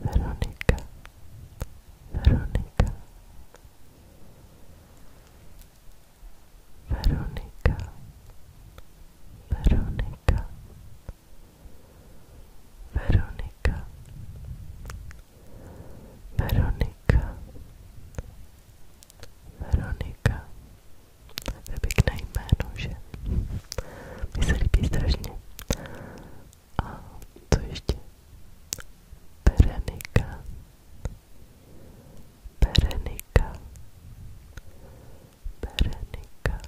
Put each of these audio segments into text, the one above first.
Veronika, Veronika, Veronika, Veronika, Veronika, Veronika, Veronika. To je pěkné jméno, že? Mně se líbí strašně. A co ještě? Berenika. Berenika. Berenika. Berenika.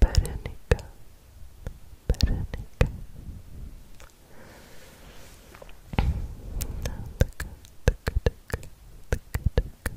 Berenika. Berenika. No, tak, tak, tak, tak, tak, tak,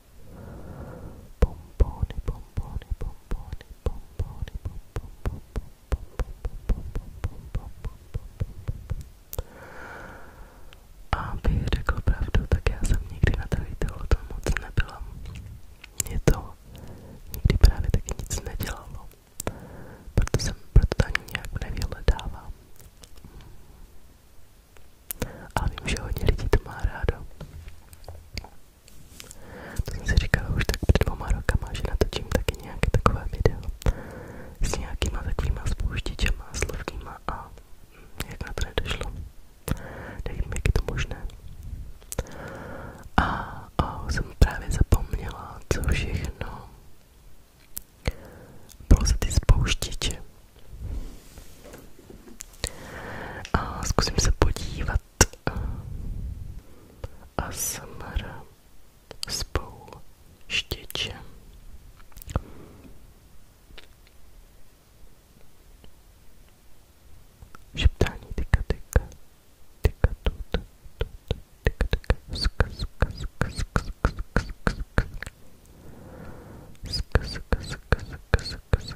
Bombony, bombony, bombony, bombony, bombony, Abych řekl pravdu, tak já jsem nikdy na televizor to moc nebyla. Mě to nikdy právě taky nic nedělalo. Proto jsem proto ani nějak nevyhledávám. Ale vím, že hodně lidí to má rádo. To jsem si říkala už tak před dvoma rokama, že natočím taky nějaké takové video s nějakýma takovýma spouštěčema, slovníma a hm, jak na to nedošlo. Nevím, jak je to možné. A, a jsem právě zapomněla, co všechno bylo za ty spouštěče. A zkusím se podívat. A smr s štěčem. Šeptání tyka tyka, tyka tut, tut, tyka tyka, ska ska ska ska ska ska ska ska ska ska ska ska ska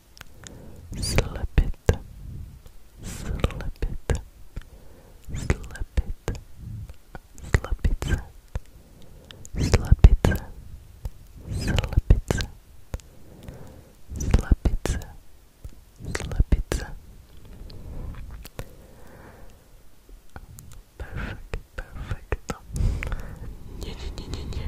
slepit, slepit, slepit, slepice, slepice, slepice, slepice, slepice. Perfect, perfect. Nie, nie, nie, nie, nie.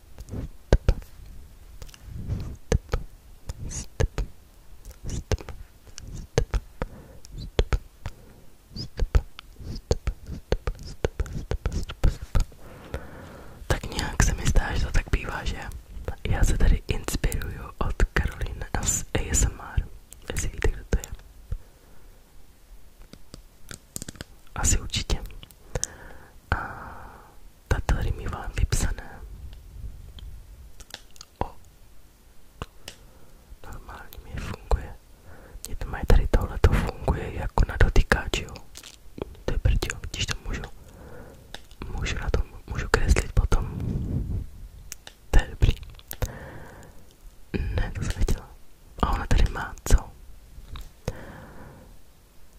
Tak nějak se mi zdá, že to tak bývá, že? Já se tady inspiruju od Karolín z ASMR. Jestli víte, kdo to je. Asi určitě. A datory mívám vypsané o normálně mi funguje mě to mají tady tohle to funguje jako na dotykáč jo to je prdíl, když to můžu můžu na tom, můžu kreslit potom to je dobrý ne, to jsem nechtěla a ona tady má co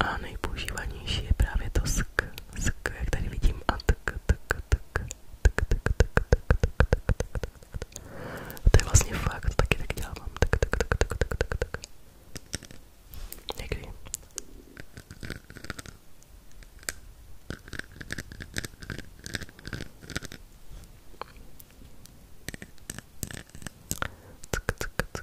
a nejpoužívanější je právě to sk, sk, jak tady vidím, a tak, tak, tak, tak, tak, tak, tak, tak, tak, tak. To je vlastně fakt, to taky tak dělám, tak, tak, tak, tak, tak, tak, tak. Někdy. Tuk, tuk, tuk.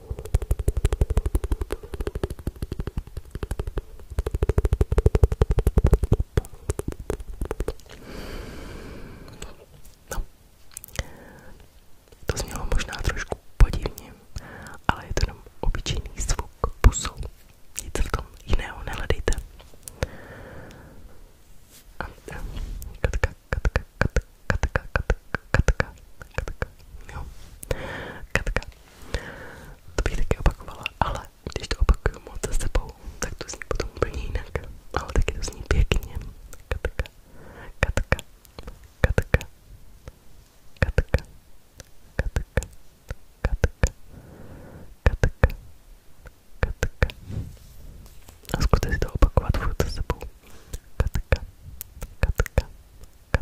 No. To znělo možná trošku podivně, ale je to jenom obyčejný zvuk pusou. Nic v tom jiného nehledejte. A, a, katka, katka, katka, katka, katka, katka, katka, jo. Katka, to bych taky opakovala, ale když to opakuju moc za sebou, tak to zní potom úplně jinak. Ale taky to zní pěkně. Katka, katka, katka, katka, katka, katka, katka, katka. A zkuste si to opakovat furt za sebou. Katka, katka, katka, katka,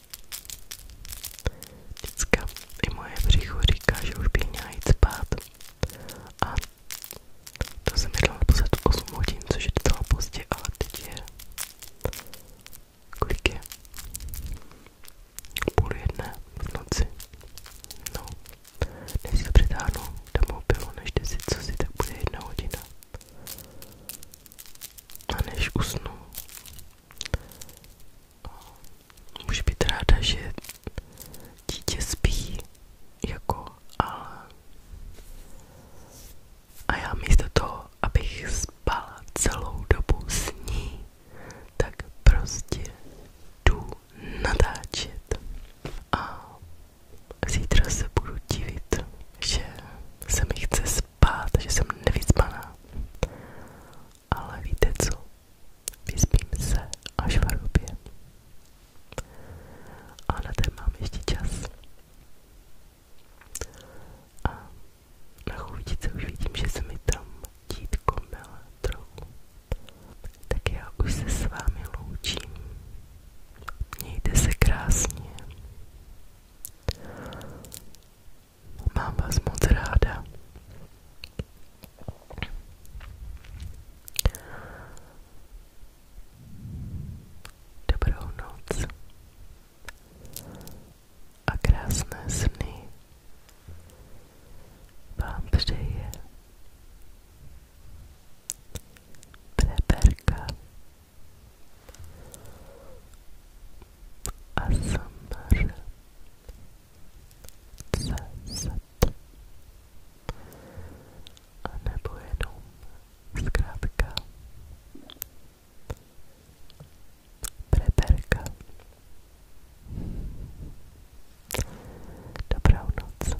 Děcka, i moje břicho říká, že už bych měla jít spát. A to jsem jedla naposled 8 hodin, což je docela pozdě, ale teď je... Kolik je? Půl jedné v noci. No, než se předáhnu do mobilu, než jde si co si, tak bude jedna hodina. A než usnu, může být ráda, že dítě spí, jako, ale... A já místo toho, abych spala celou dobu s ní, tak prostě jdu natáčet. A zítra se budu divit, že se mi chce spát, že jsem nevycpaná. Ale víte co? Vyspím se až v hrubě. A na ten mám ještě čas. A na chůvičce už vidím, že se mi tam dítko mele trochu. Tak já už se s vámi loučím. Mějte se krásně. Mám vás moc ráda. Dobrou noc a krásné sny vám přeje Preberka. ASMR CZ a nebo jenom zkrátka Preberka Dobrou noc